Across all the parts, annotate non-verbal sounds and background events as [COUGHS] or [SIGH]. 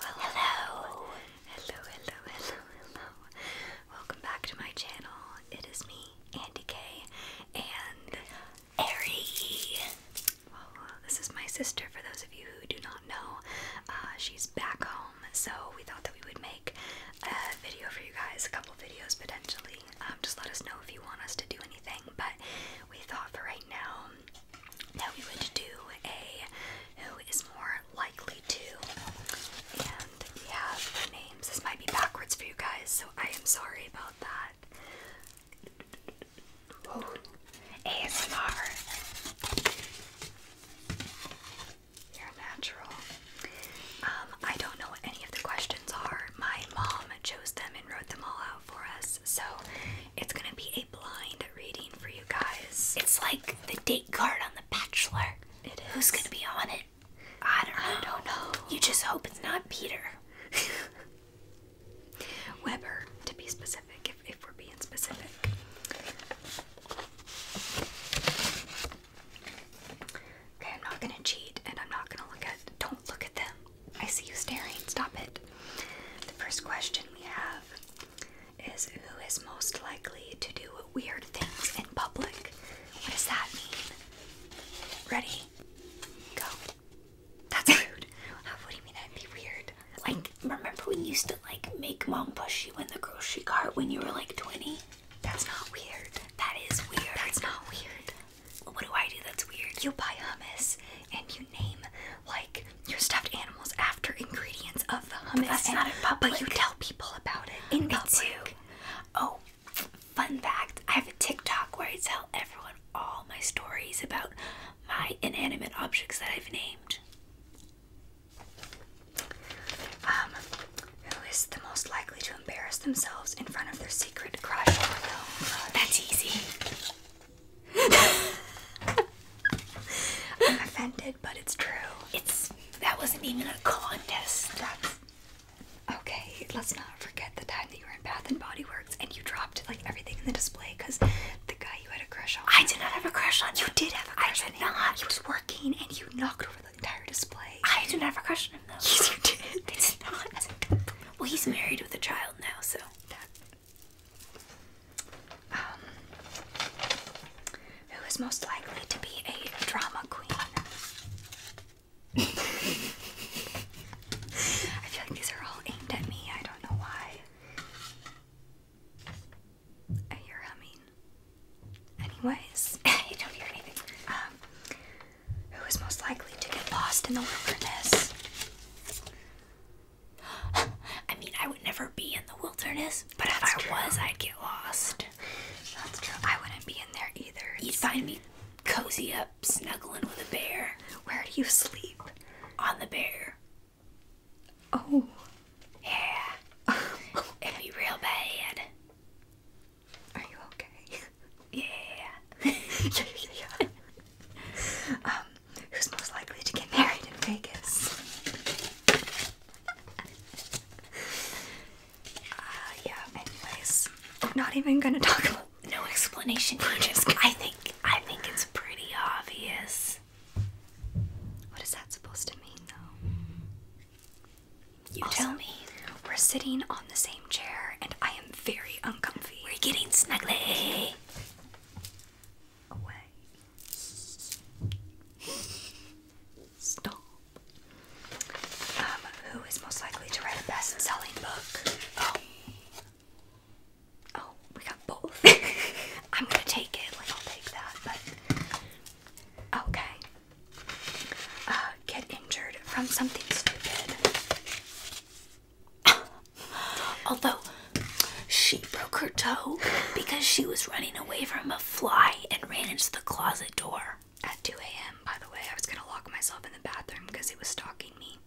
Well, hello. hello, hello, hello, hello. Welcome back to my channel. It is me, Andy K, and Ari. Uh, this is my sister. For those of you who do not know, uh, she's back home, so we thought that we would make a video for you guys, a couple videos potentially. Um, just let us know if you want us to do anything, but we thought for right now that we would do a who is more likely to. And we have the names. This might be backwards for you guys, so I am sorry about that. ASMR. You're natural. Um, I don't know what any of the questions are. My mom chose them and wrote them all out for us. So it's gonna be a blind reading for you guys. It's like the date card on The Bachelor. It is. Who's gonna be on it? I don't know. You just hope it's not Peter. [LAUGHS] Weber, to be specific, if, if we're being specific. Okay, I'm not gonna cheat and I'm not gonna look at don't look at them. I see you staring. Stop it. The first question we have is Who is most likely to do weird things in public? What does that mean? Ready? Go. That's [LAUGHS] rude. what do you mean that'd be weird? Like, remember when you used to, like, make mom push you in the grocery cart when you were, like, 20? That's not weird. That is weird. That's not weird. What do I do that's weird? You buy hummus and you name like your stuffed animals after ingredients of the hummus. that's not in public. But you tell people about it in public. Too. Oh, fun fact! I have a TikTok where I tell everyone all my stories about my inanimate objects that I've named. Um, who is the most likely to embarrass themselves in front of their secret crush or no crush? That's easy. I'm offended, but it's true. It's that wasn't even a contest. okay. Let's not forget the time that you were in Bath and Body Works and you dropped like everything in the display because the guy you had a crush on. I did not have a crush on you. You did have a crush on him. Not. He was working and you knocked over the entire display. I did not have a crush on him though. Yes, you did. It's not. Well, he's married with a child now, so um, who is most likely to be a drama queen? I feel like these are all aimed at me. I don't know why. I hear humming. Anyways, you [LAUGHS] don't hear anything. Um, who is most likely to get lost in the wilderness. [GASPS] I mean, I would never be in the wilderness, but if I was, I'd get lost. That's true. I wouldn't be in there either. You'd find me cozy up, snuggling with a bear. Where do you sleep? On the bear. Oh. Yeah. [LAUGHS] It'd be real bad. Are you okay? yeah. [LAUGHS] [LAUGHS] Um, who's most likely to get married in Vegas? uh, yeah, anyways. not even gonna talk about no explanation. [LAUGHS] Just, I think I think it's pretty obvious. What is that supposed to mean though? You tell me. We're sitting on the same chair and I am very uncomfortable. We're getting snuggly. Away. Stop. Um, who is most likely to write a best-selling book? Oh. Oh, we got both. [LAUGHS] I'm gonna take it, like I'll take that, but okay. Uh, get injured from something stupid. [COUGHS] Although she broke her toe because she was running away from a fly and ran into the closet door. At 2 a.m., by the way, I was gonna lock myself in the bathroom because it was stalking me.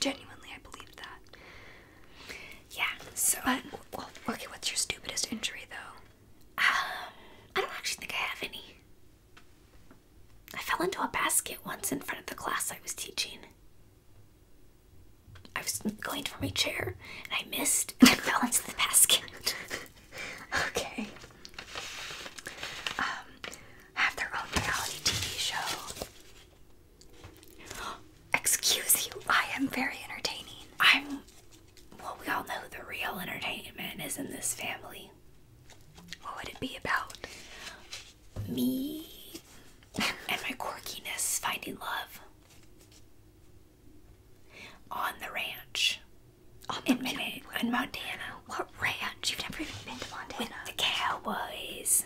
Genuinely, I believed that. Yeah, so. okay, what's your stupidest injury though? Um, I don't actually think I have any. I fell into a basket once in front of the class I was teaching. I was going for my chair and I missed and I [LAUGHS] fell into the basket. [LAUGHS] okay. Um, have their own reality TV show. [GASPS] Excuse you, I am very entertaining. I'm. Well, we all know the real entertainment is in this family. What would it be about? Me and my quirkiness finding love on the ranch on the in, Minute, in Montana. What ranch? You've never even been to Montana. With the cowboys.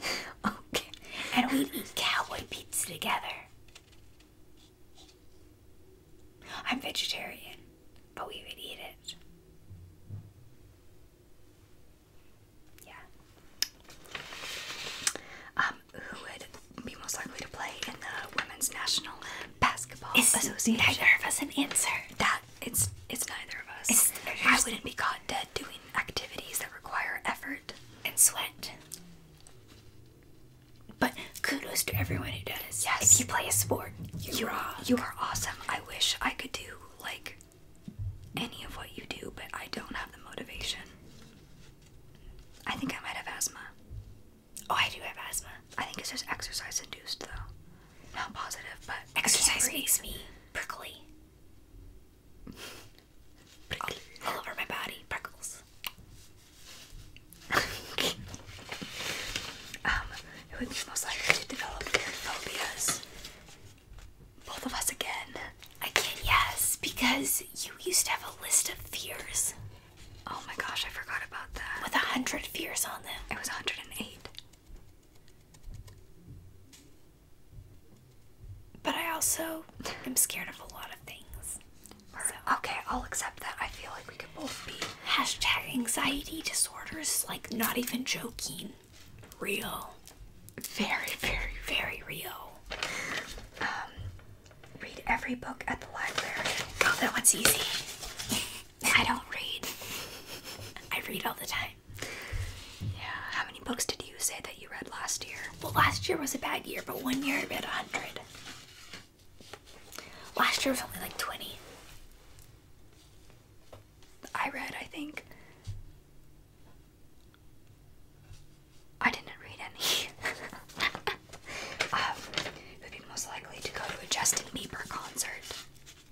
[LAUGHS] okay. And we eat cowboy pizza together. I'm vegetarian but we would eat it. Yeah. Um, who would be most likely to play in the Women's National Basketball it's Association? Neither of us an answer. That it's it's neither of us. I wouldn't be caught dead doing activities that require effort and sweat. But kudos to everyone who does. Yes. If you play a sport, you are you are awesome. I wish I could do like any of what you do, but I don't have the motivation. I think I might have asthma. Oh, I do have asthma. I think it's just exercise induced, though. Not positive, but exercise makes me prickly. prickly. All, over my body, prickles. [LAUGHS] um, who would be most likely to develop weird phobias. Both of us again. Again, yes, because you used to have a list of fears. Oh my gosh, I forgot about that. With a hundred fears on them. It was 108. But I also am scared of a lot of things. Okay, I'll accept that. I feel like we could both be Hashtag anxiety disorders. like not even joking. Real. Very, very, very real. Um, read every book at the library. Oh, that one's easy. [LAUGHS] I don't read. I read all the time. Yeah. How many books did you say that you read last year? Well, last year was a bad year, but one year I read a hundred. Last year was only like 20. I read, I think. I didn't read any. [LAUGHS] Um, would be most likely to go to a Justin Bieber concert?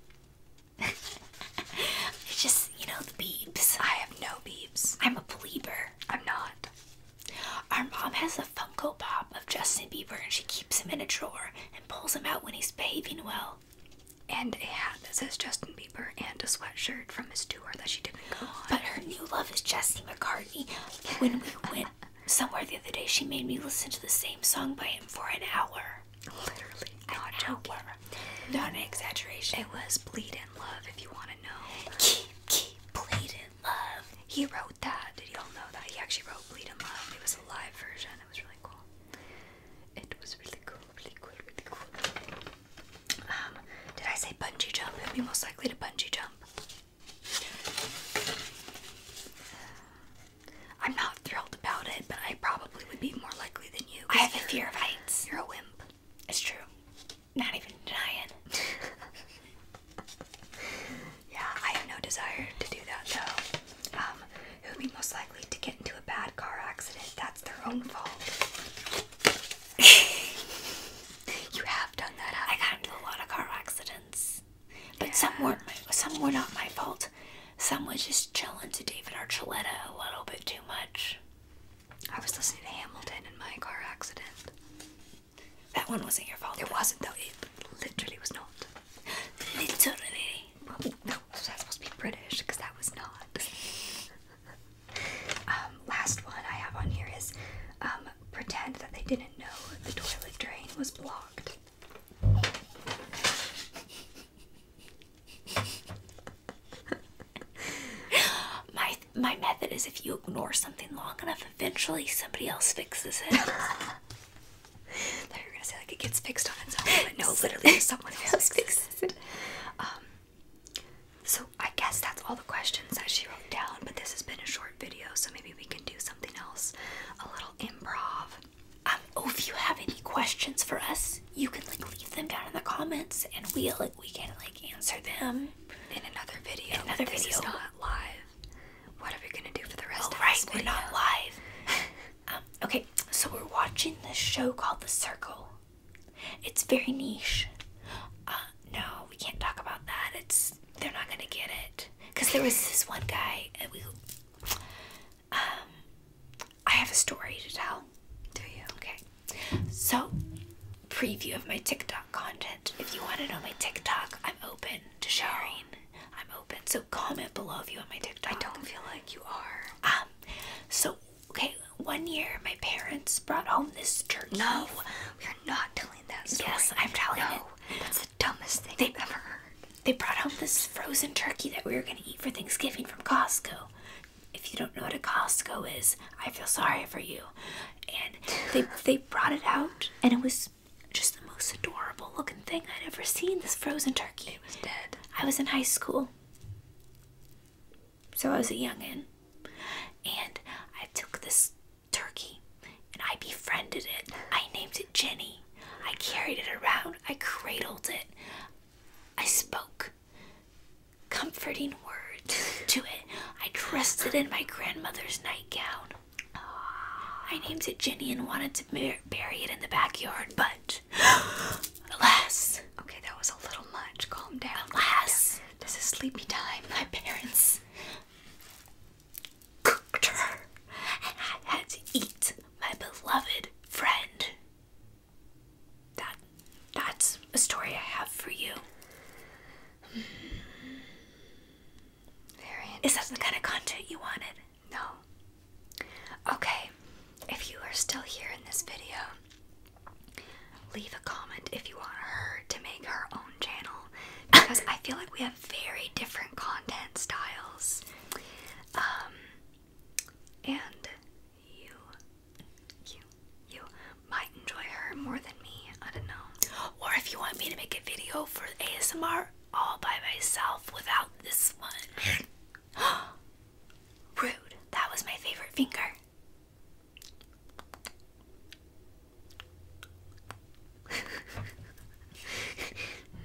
[LAUGHS] it's just, you know, the beeps. I have no beeps. I'm a believer. I'm not. Our mom has a Funko Pop of Justin Bieber and she keeps him in a drawer and pulls him out when he's behaving well. And a hat that says Justin Bieber and a sweatshirt from his tour that she didn't go But her new love is Jesse McCartney. When we [LAUGHS] went somewhere the other day, she made me listen to the same song by him for an hour. Literally, not an joking. Not an exaggeration. It was Bleed in Love, if you want to know. Keep, keep bleeding love. He wrote that. Did y'all know that? He actually wrote Bleed 'em Up. It was a live version. It was really cool. It was really cool, really cool, really cool. Um, did I say bungee jump? It'd be most likely to bungee jump. I'm not thrilled about it, but I probably would be more likely than you. I have a fear of heights. You're a wimp. It's true. Not even denying. [LAUGHS] yeah, I have no desire to do that though. who um, would be most likely to get into a bad car accident? That's their own fault. [LAUGHS] you have done that. I got into a lot of car accidents, but some were some were not my fault. Some was just chilling to David Archuleta a little bit too much. I was listening to Hamilton in my car accident. That one wasn't your fault. It wasn't though. It literally was not. Literally. Oh, no, so was supposed to be British because that was not. [LAUGHS] Um, last one I have on here is um, pretend that they didn't know the toilet drain was blocked. [LAUGHS] my my method is if you ignore something long enough, eventually somebody else fixes it. [LAUGHS] [LAUGHS] thought you were gonna say like it gets fixed on its own, but no, literally someone [LAUGHS] fixes it. Um, so I guess that's all the questions that she wrote down. But this has been a short video, so maybe we can do something else, a little improv. Um, oh, if you have any questions for us, you can like leave them down in the comments, and we like, we can like answer them in another video. another video, not live. What are we gonna do for the rest oh, of right, this? Right, we're not live. [LAUGHS] um, okay, so we're watching this show called The Circle. It's very niche. Uh, no, we can't talk about that. It's they're not gonna get it. Cause there was this one guy. And we, um, I have a story to tell. Do you? Okay. So, preview of my TikTok content. If you want it on my TikTok, I'm open to sharing. I'm open. So comment below if you want my TikTok. I don't feel like you are. Um. So okay, one year my parents brought home this turkey. No, we are not telling that story. Yes, I'm telling no, That's the dumbest thing they've ever heard. They brought home this frozen turkey that we were gonna eat for Thanksgiving from Costco. If you don't know what a Costco is, I feel sorry for you. And they they brought it out, and it was just the most adorable looking thing I'd ever seen. This frozen turkey. It was dead. I was in high school. So I was a youngin. And I took this turkey and I befriended it. I named it Jenny. I carried it around. I cradled it. I spoke comforting words to it. I dressed it in my grandmother's nightgown. I named it Jenny and wanted to bury it in the backyard, but [GASPS] alas. Okay, that was a little much. Calm down. Alas, this is sleepy time. My parents cooked her, and I had to eat my beloved friend. That that's a story I have for you. Very Is that the kind of content you wanted? No. Okay, if you are still here in this video, leave a comment if you want her to make her own channel because I feel like we have very different content styles. Um, and you, you, you might enjoy her more than me. I don't know. Or if you want me to make a video for ASMR all by myself without this one. [GASPS] Rude. That was my favorite finger.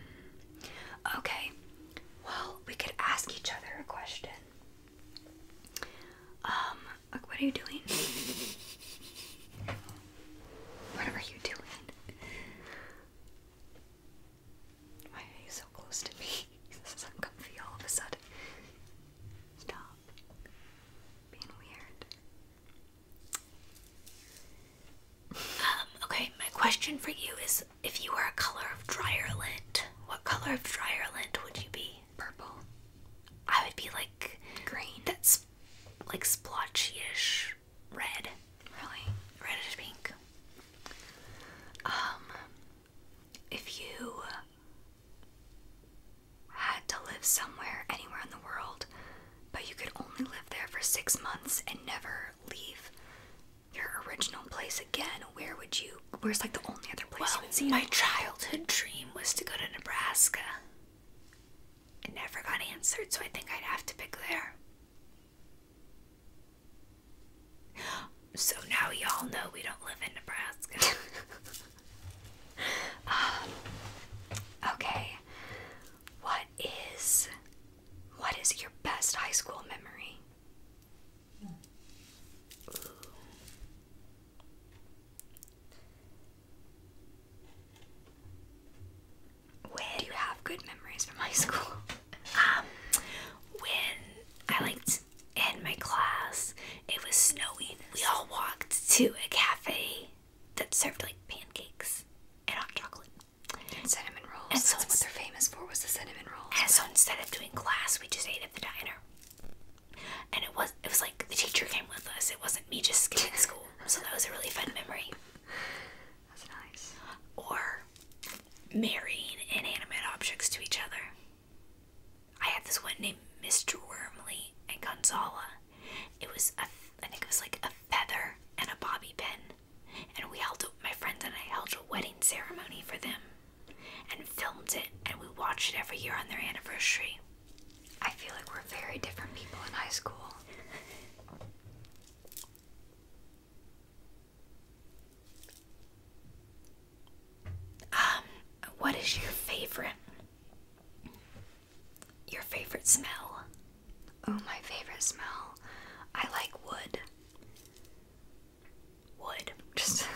[LAUGHS] okay. Well, we could ask each other a question. Um, what are you doing? What are you doing? Why are you so close to me? [LAUGHS] This is uncomfy all of a sudden. Stop being weird. Um, okay, my question for you is if you were a color of dryer lint, what color of dryer lint would you be? Purple. I would be like green. That's like splotchy-ish red. Really? Reddish pink. Um if you had to live somewhere anywhere in the world, but you could only live there for six months and never leave your original place again, where would you where's like the only other place well, My childhood dream was to go to Nebraska. It never got answered, so I think I'd have to pick there. So now y'all know we don't live in Nebraska. [LAUGHS] Um, okay. What is what is your best high school memory? Hmm do you have good memories from high school? [LAUGHS] um, when I liked in my class, it was snowing. We all walked to a cafe that served like pancakes and hot chocolate and cinnamon rolls. And so what they're famous for was the cinnamon rolls. And so instead of doing class, we just ate at the diner and it was it was like the teacher came with us. It wasn't me just skipping school, so that was a really fun memory. That's nice. Or marrying inanimate objects to each other. I had this one named Mr. Wormley and Gonzala. It was a, I think it was like a feather and a bobby pin, and we held my friends and I held a wedding ceremony for them and filmed it, and we watch it every year on their anniversary. I feel like we're very different people in high school. um, what is your favorite? Your favorite smell? Oh, my favorite smell. I like wood wood. [LAUGHS] Just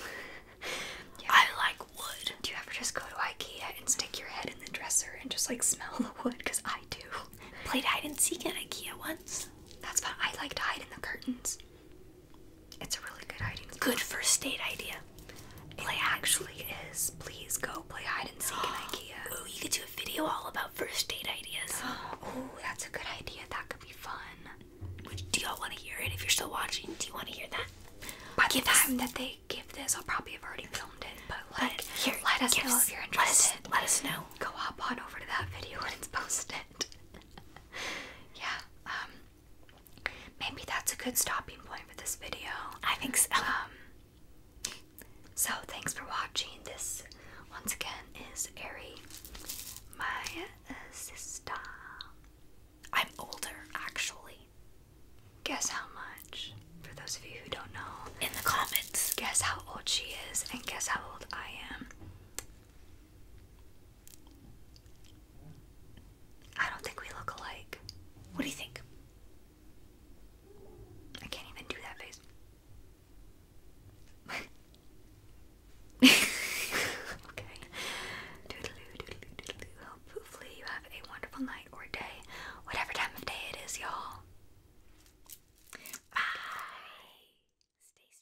yeah. I like wood. Do you ever just go to IKEA and stick your head in the dresser and just like smell the wood? Because I do. Played hide and seek at IKEA once. That's fun. I like to hide in the curtains. It's a really good hiding. Spot. Good first date idea. Play it actually is. Please go play hide and seek in [GASPS] IKEA. Oh, you could do a video all about first date ideas. [GASPS] oh, that's a good idea. That could be fun do y'all want to hear it? If you're still watching, do you want to hear that? By the time that they give this, I'll probably have already filmed it. But like, here, let us know if you're interested. Let us, know. Go hop on over to that video when it's posted. [LAUGHS] yeah. Um. Maybe that's a good stopping point for this video. I think so. Um. So thanks for watching. This once again is Ari, my uh, sister. I'm older, actually. Guess how much? For those of you who don't know, in the comments, guess how old she is and guess how old I am. I don't think we look alike. What do you think? I can't even do that face. [LAUGHS] [LAUGHS] okay. Hopefully you have a wonderful night or day, whatever time of day it is, y'all. Bye. Stay strong.